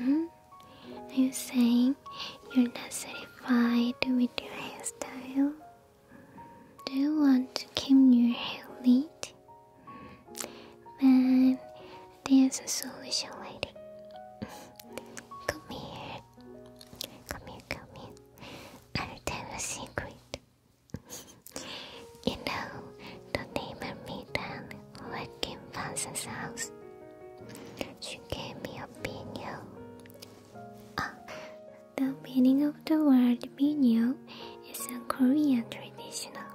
Mm-hmm. Are you saying you're not satisfied with your hairstyle? Do you want to keep your hair neat? Then there's a solution, lady. Come here. Come here, come here. I'll tell a secret you know, the neighbor Mitan who had Kim house. She gave me a pinyo. Ah, the meaning of the word pinyo is a Korean traditional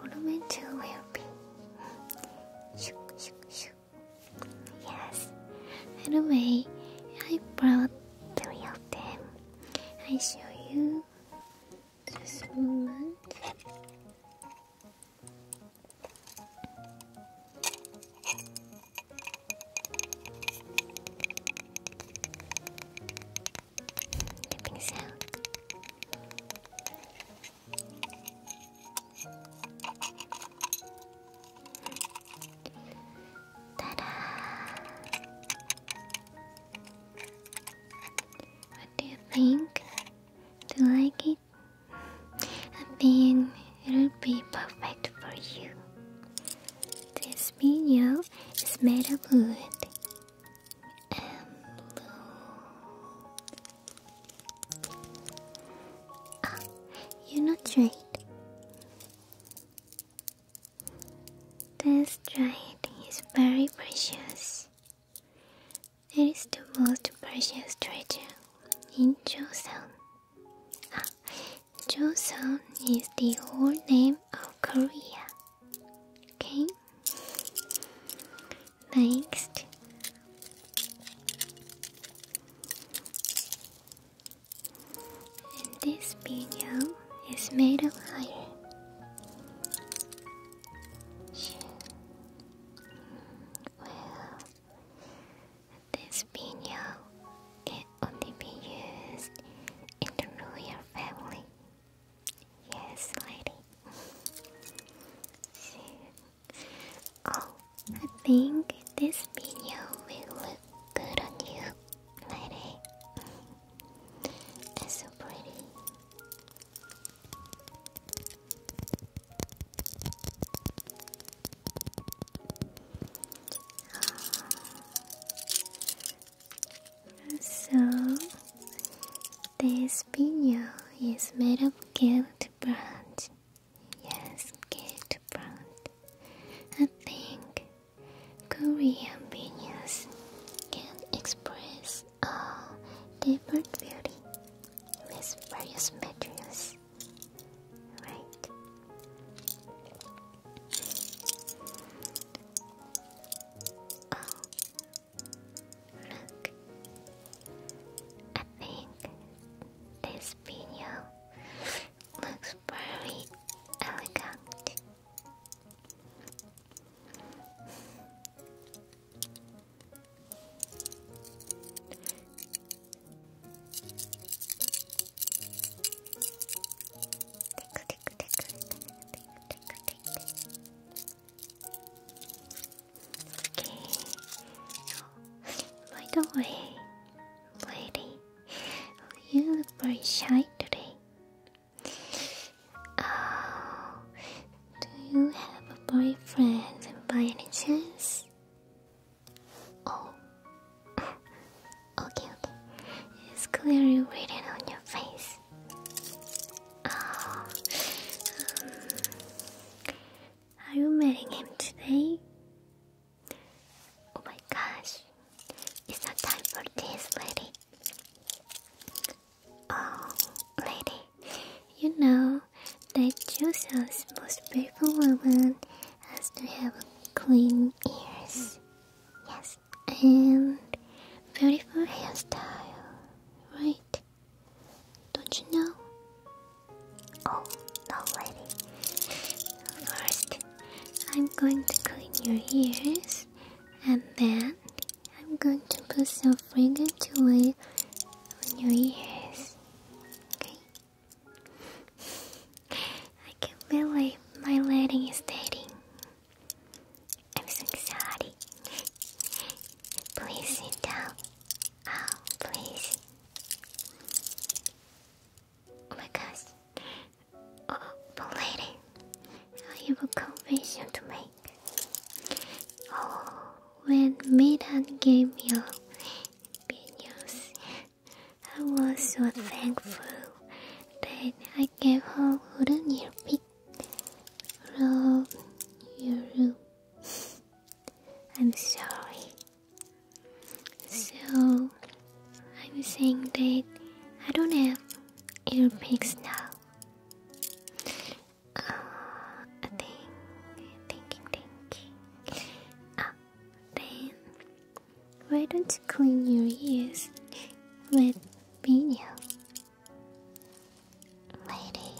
ornamental weapon. Yes. Anyway, I brought three of them. I show you. Just one. Nipping sound. Ta-da! What do you think? Do you like it? I think it'll be perfect for you. This video is made of wood and blue. Ah, you're not right. This giant is very precious. It is the most precious treasure in Joseon. Ah, Joseon is the whole name of Korea. Okay? Next. In this video, it's made of iron. Well, this pino can only be used in the royal family. Yes, lady. oh, I think this pino will look good on you, lady. It's so pretty. So, this video is made of gilt branch. Yes, gilt branch. I think Korean videos can express a different beauty with various materials, right? Oh, look! I think this video looks very elegant. By the way, lady, you look very shy today. Oh, do you have a boyfriend by any chance? Oh, okay, okay. It's clearly written on your face. Oh. Um, are you meeting him today? Oh my gosh, it's not time for this, lady. Oh, lady, you know that Joseph's most beautiful woman has to have clean ears. Yes, and beautiful hairstyle, right? Don't you know? Oh, no, lady. First, I'm going to clean your ears and then I'm going to put some fragrant oil on your ears. Okay? I can believe my lady is dating. I'm so sorry. Please sit down. Oh, please. Oh my gosh. Oh, but lady, I have a confession to make. Oh, when Maiden gave me a big news, I was so thankful that I gave her wooden earpiece from your room. I'm sorry. So, I'm saying that I don't have It'll make snow. I uh, think, thinking, thinking. Ah, then why don't you clean your ears with vinyl, lady?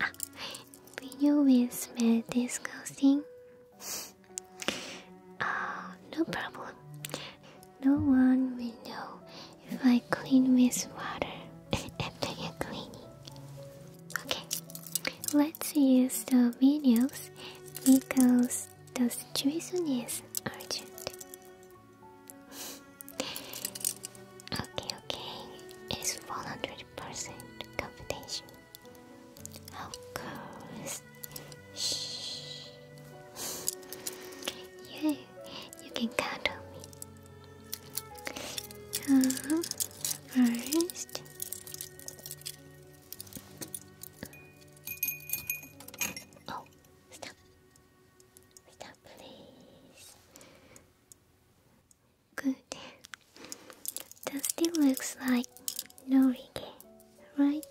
ah, will smell disgusting. Oh, no problem. No one will know if I clean with water after you cleaning. Okay, let's use the videos because the situation is urgent. okay, okay, it's 100% confidential. Of course. Shh. Yeah, you can count on me. Uh, first, oh, stop, stop, please. Good. That still looks like Norige, right?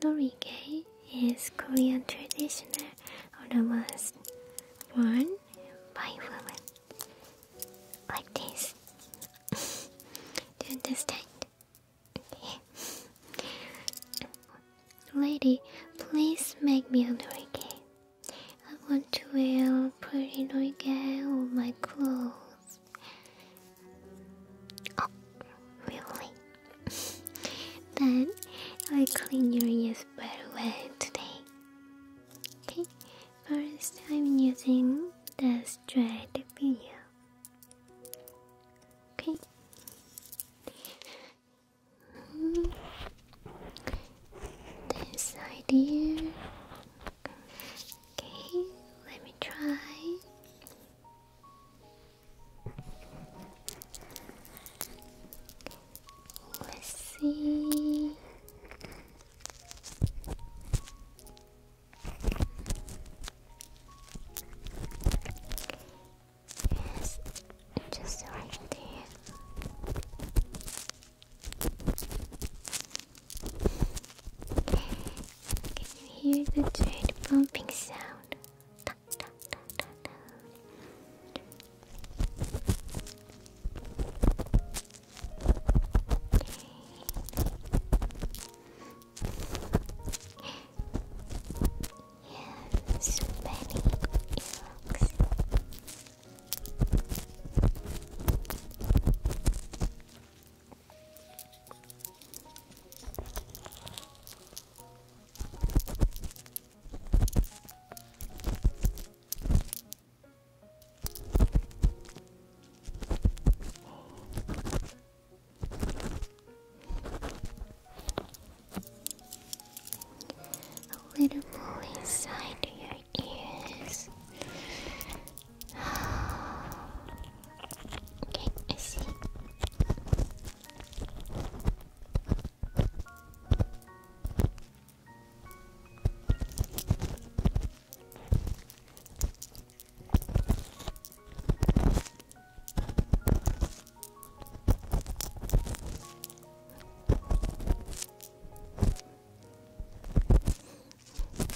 Norige is Korean traditional or was worn by women. Like this. Do you understand? Lady, please make me a norige. I want to wear pretty norige on my clothes. ですあ、oh, really? Then I clean your ears very well today. Okay, first I'm using the straight video. Okay. Hmm. This side here. Okay, let me try. Let's see. just right there. Can you hear the thread bumping sound? Da, so many earlocks. A little more inside your ears okay, I see.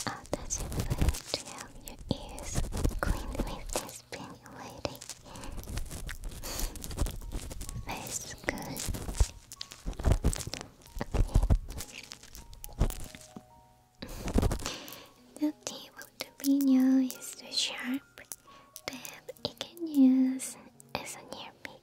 Ah, how does it feel to your ears cleaned with this pink lady? That's good. The table jalapeno is too sharp, but it can use as a near pick.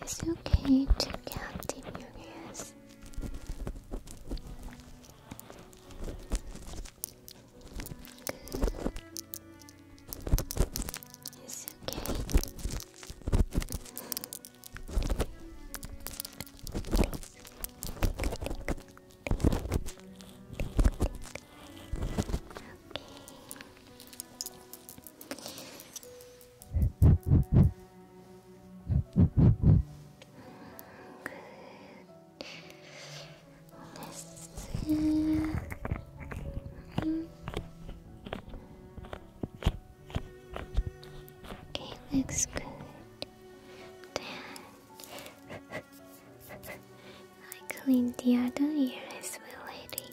It's okay to count in your It's okay. Okay. Let's Okay, looks good. I cleaned the other ear as well, lady.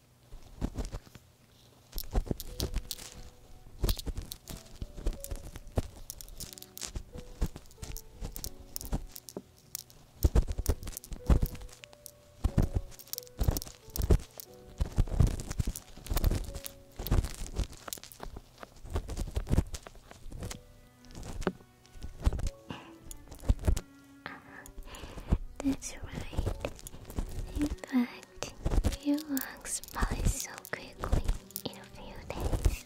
That's right. If I but your lungs probably so quickly in a few days.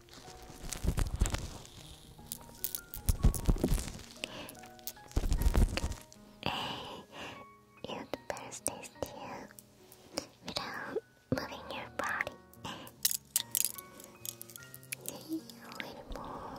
You'd better stay without moving your body. A little more.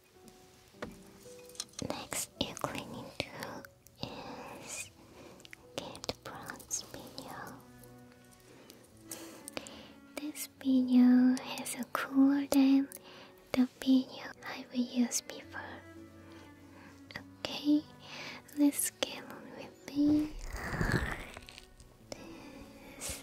Next you're going is get bronze video. This video is a cooler than the video I have used before. Okay, let's get on with me. This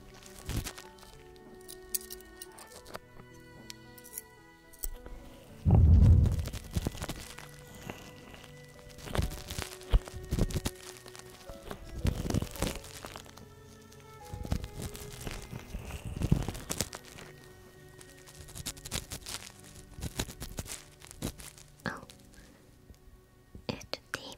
Oh, it's deep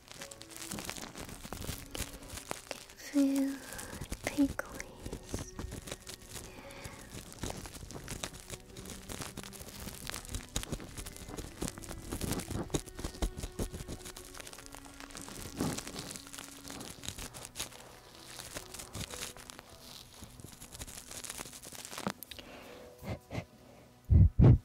Can feel pickles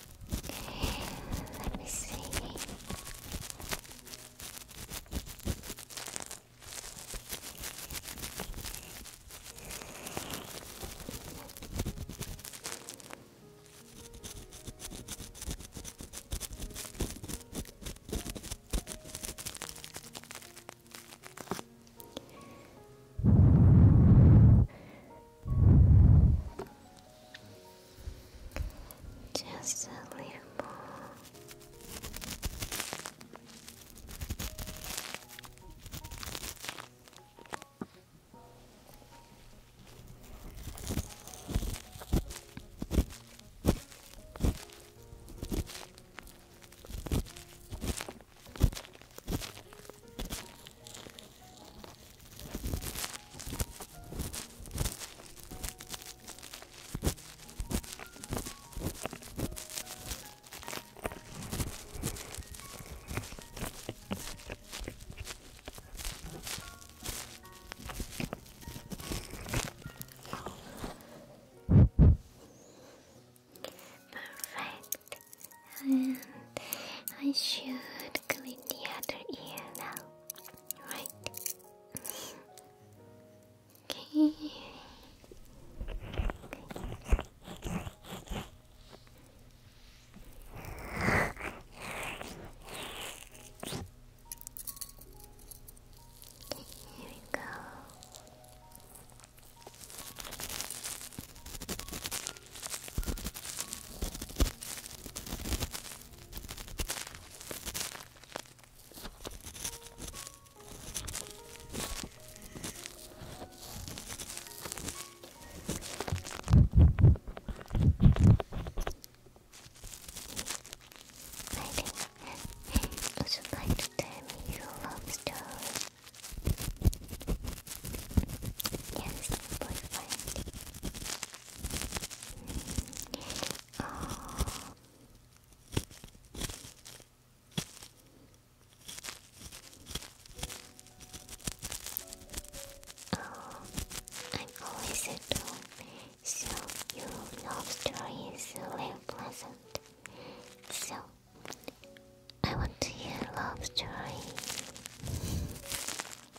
Let me see. Just a little more. Perfect. And I should clean the other ear now, right? okay. here we go. Would you like to tell me love story? Yes, boyfriend. Oh. I'm always at so love story is pleasant. So, I want to hear love story.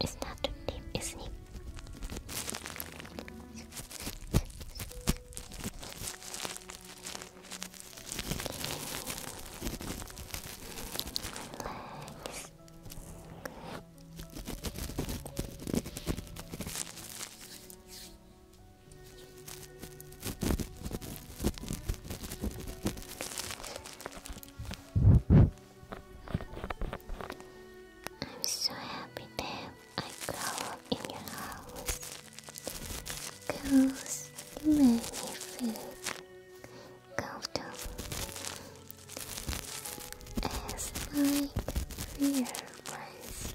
It's not too deep, isn't it? Relax. I'm so happy that I grow up in your house. Cause you me feel comfortable as my rear ones.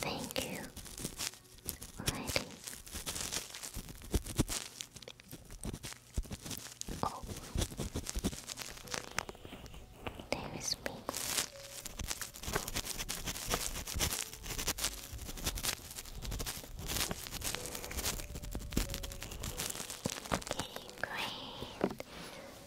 Thank you, lady. Oh, there is me. great.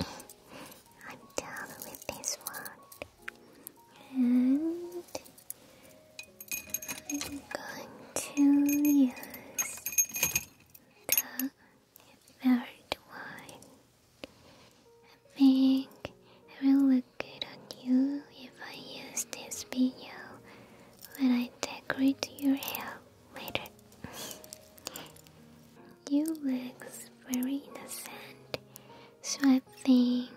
I'm done with this one. And I'm going to use the third one. I think it will look good on you if I use this video when I decorate your hair later. you look very innocent, so I think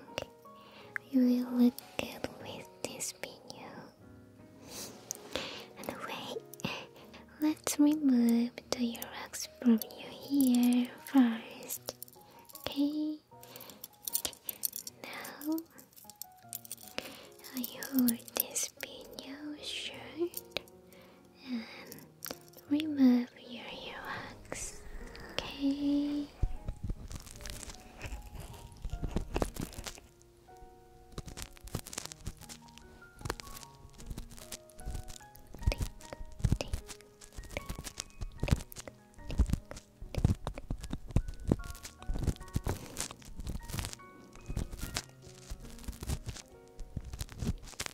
you will look good with this video. Anyway, let's remove the Yorox from your hair first, okay? Now, I hope this video should and remove your earwax. Okay.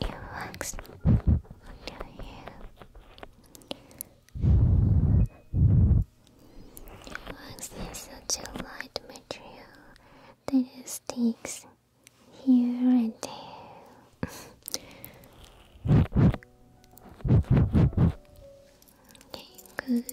It works on your It works in such a light material that it sticks here and there. okay, good.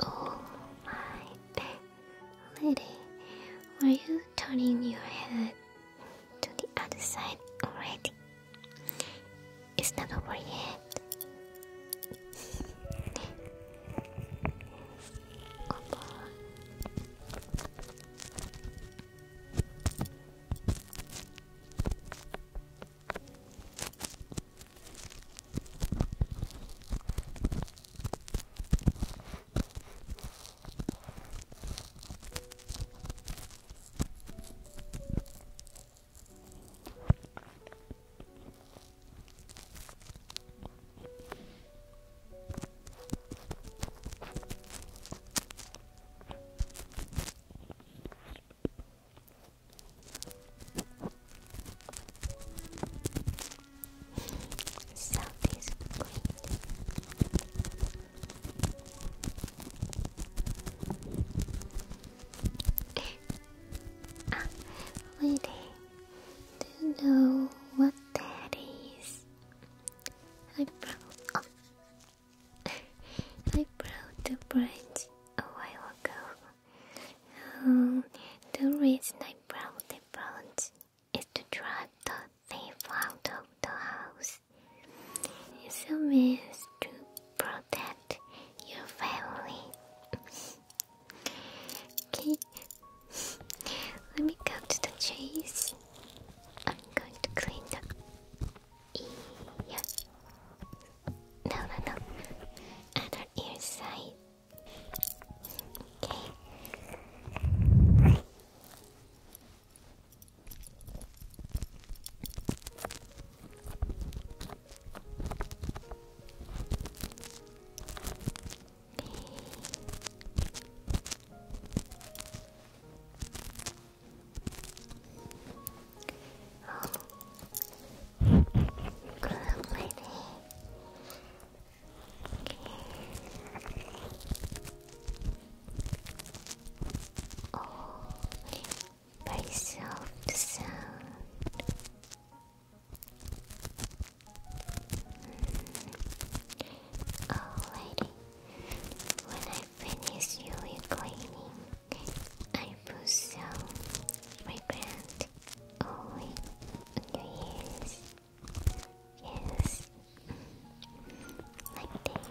Oh my lady, were you turning your head to the other side already? It's not over yet. Opa. South is great. ah, wait, eh. do you know what that is? I broke, I broke the bridge a while ago. Um, the reason I broke the bridge is to drive the thief out of the house. It's a means to protect your family. okay, let me go to the chase. I'm going to clean the ear. No, no, no. Other ear side. Okay oh. Good lady. Okay. Oh, very soft sound. Alrighty. When I finish you reclaiming, I put some fragrant oil on your ears. Yes. Like this.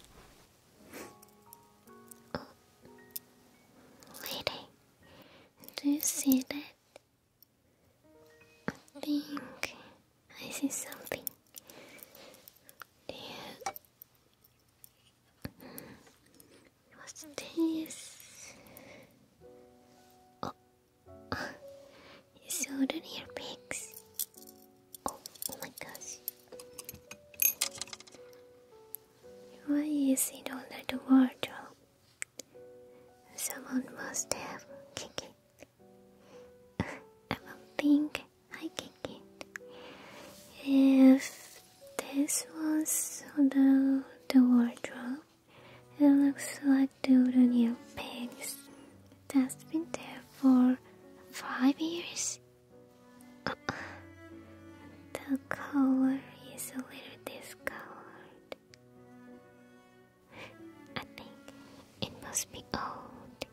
Lady, do you see that? I think I see something. Yeah. What's this? Oh. Southern ear pigs. Oh, my gosh. Why is it under the wardrobe? Someone must have kicked it. I don't think I kicked it. If this was under the wardrobe, it looks like the wooden ear pigs that's been there for five years. the color is a little discolored. I think it must be old.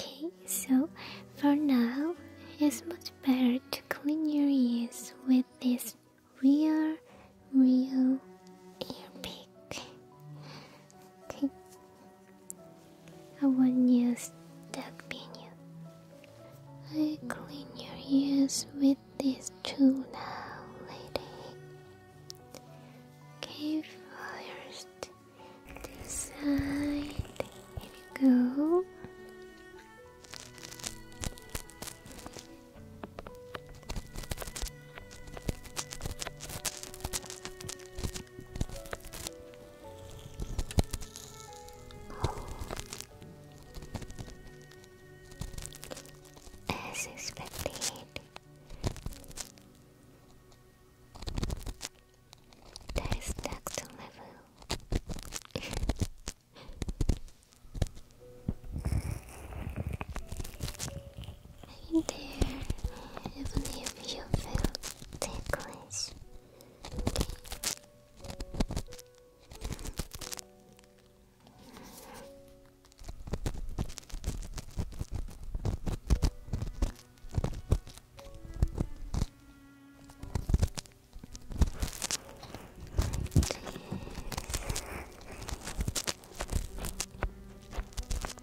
Okay, so for now, it's much better to clean your ears with this real, real ear pick. Okay, I want not use duck pinion. I clean your ears with this tool now, lady. Okay, first, this side. Here Oh. As expected, that is next level. there, even if you feel ticklish.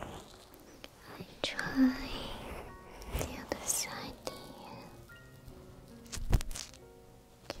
I try the other side here. Okay.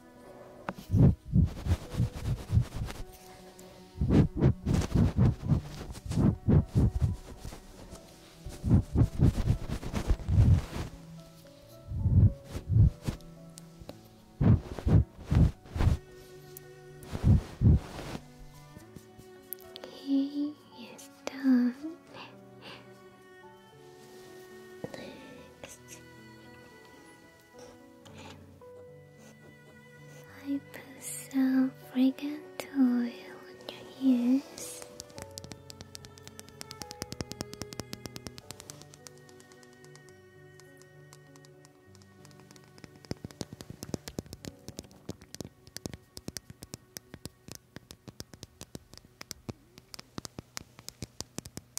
He is done. Next, I put some fragrant oil on your ears.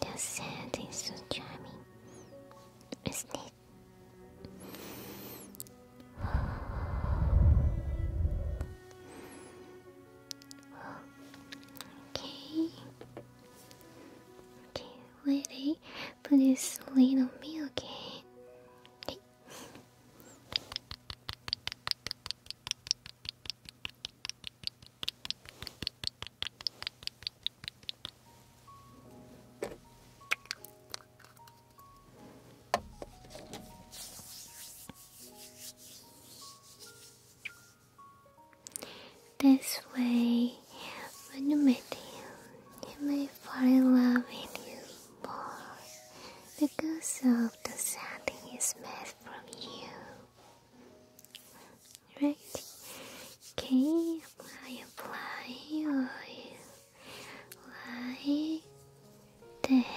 The sand is so charming, isn't it? okay. Okay, ready wait. Put this lid on me, okay. This way, when you meet him, he may fall in love with you more because of the scent he's made from you right? Okay, I apply oil like this.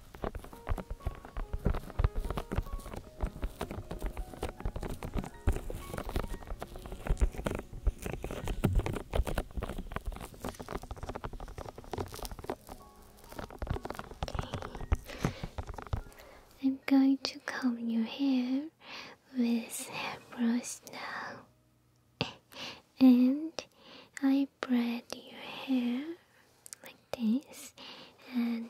I'm going to comb your hair with hairbrush now. And I braid your hair like this and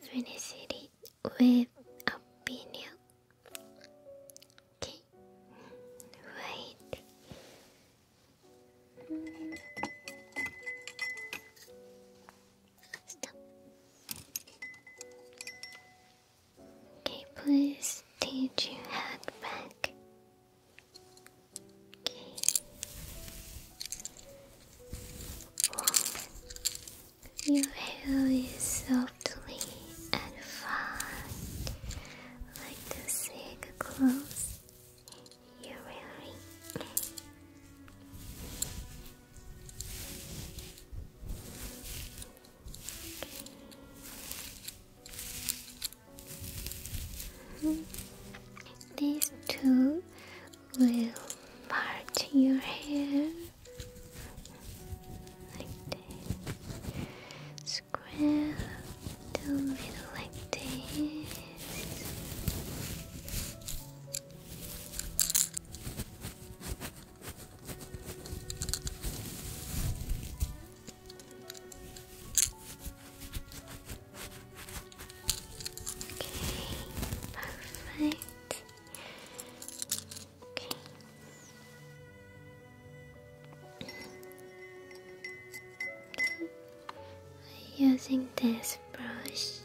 finish it with a pinion. Okay, wait. Okay, please take your head back. Your hair is softly and fine, like the silk clothes you're wearing. These two will part your hair like this. Square the middle like this. Okay, perfect. Okay. Using this brush.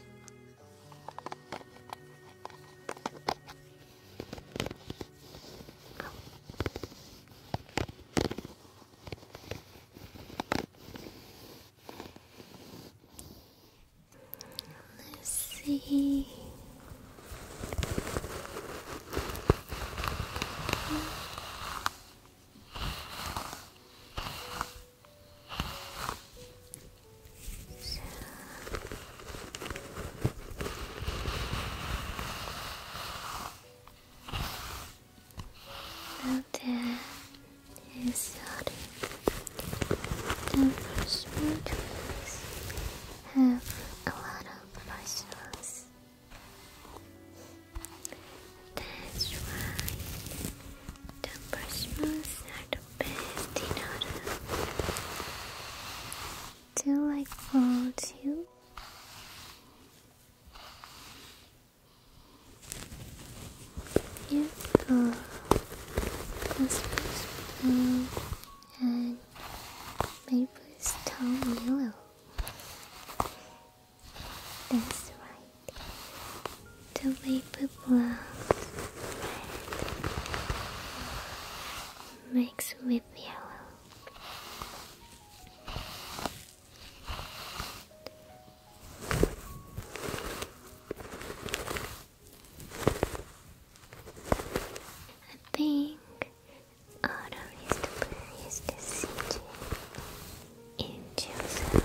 Let's see. So. Now that is sorted. The have a lot of parcels. That's right. The are the best in order. Do you like fall if the husband's blue and neighbor's town yellow, that's right. The vapor blows red, mixed with yellow. I think Autumn is the place in Joseph.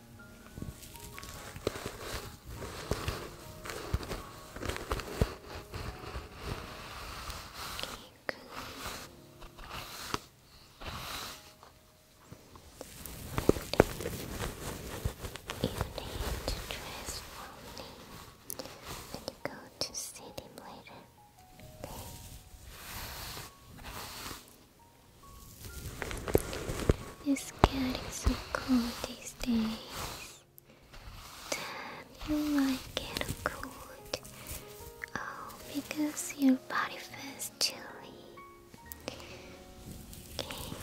need to dress for me you go to see him later. Okay? It's getting so cold these days. you might get cold. Oh, because your body feels chilly. Okay. Oh.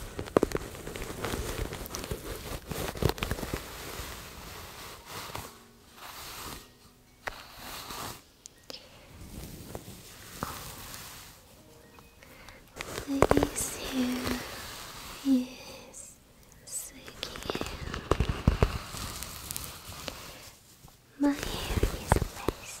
Please hear. is silky hair. My hair is lace.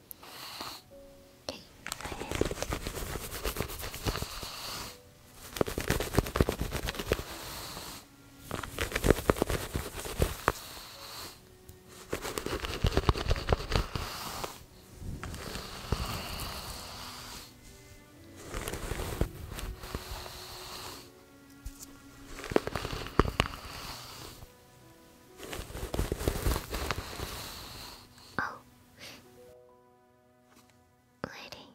Okay, so Oh, Lady,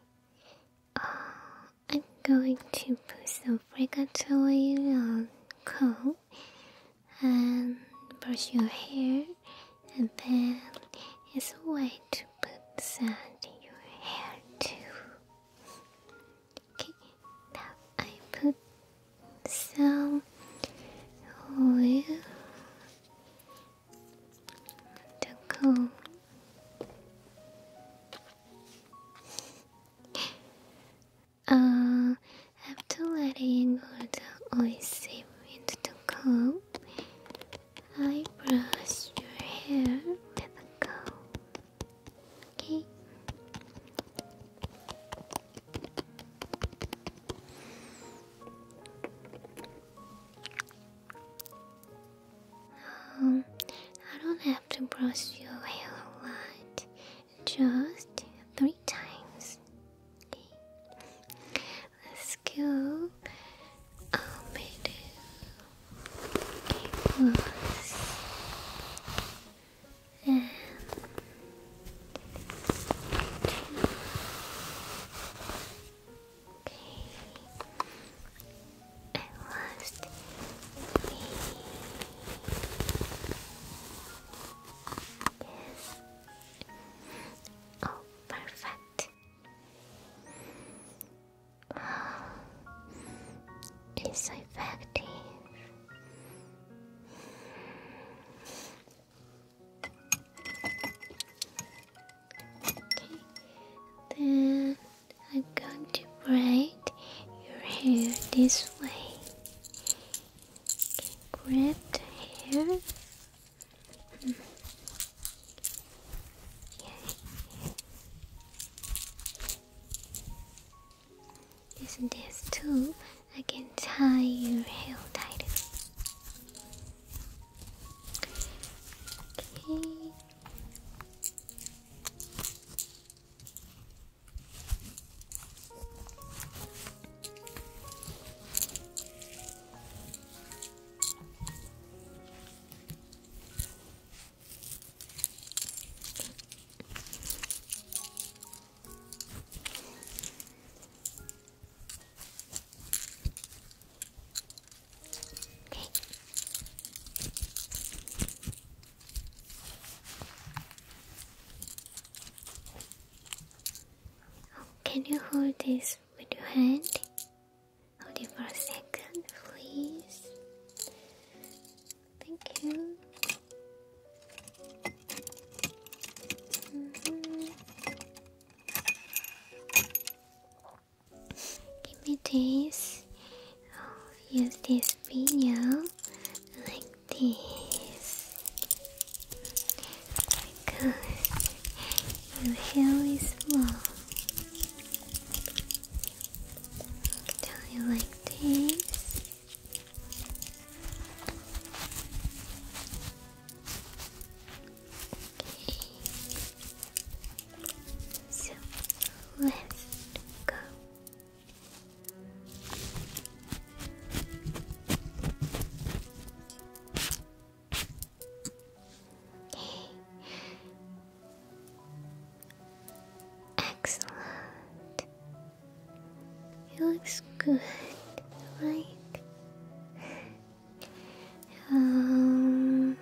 uh, I'm going to put some fragrant oil on coal and brush your hair, and then it's a way to put sand in your hair too. Okay, now I put some oil Taco. Uh, after letting all the oil seep into the I brush your hair with a comb. Okay. Um, I don't have to brush your hair a lot, just three times. let's go. i Okay. And last Oh, perfect. Wow. It's effective then I'm going to braid your hair this way. grab the hair. is this too? I can tie your hair tighter. Okay can you hold this with your hand? Hold it for a second, please. Thank you. Mm-hmm. Give me this. use this video like this because your hair is long. Tell you like this. So let's go. Excellent. It looks good, right? Um,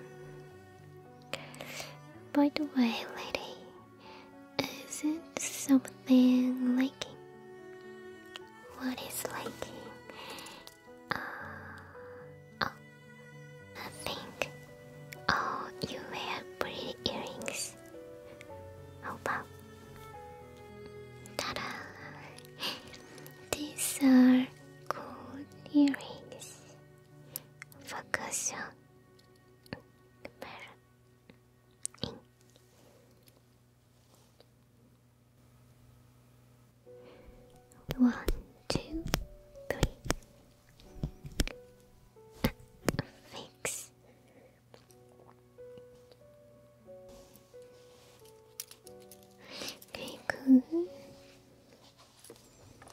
by the way, lady, is it something liking? What is liking? Uh, oh, nothing. Oh, you wear pretty earrings. How about? Ta-da! These are gold earrings. Focus on camera. One, two, three. Fix. Okay, good.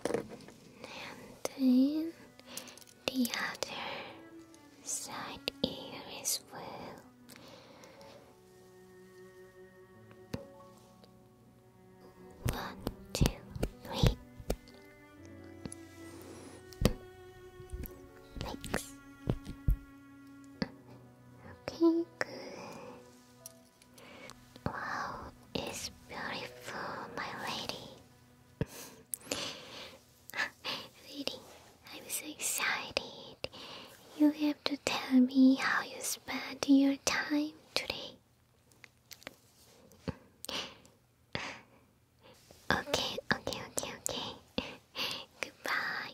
And then the other side ear as well. One, two, three. Thanks pink. Wow, it's beautiful, my lady. Really, I'm so excited. You have to tell me how you spent your time today. Okay, okay, okay, okay. Goodbye.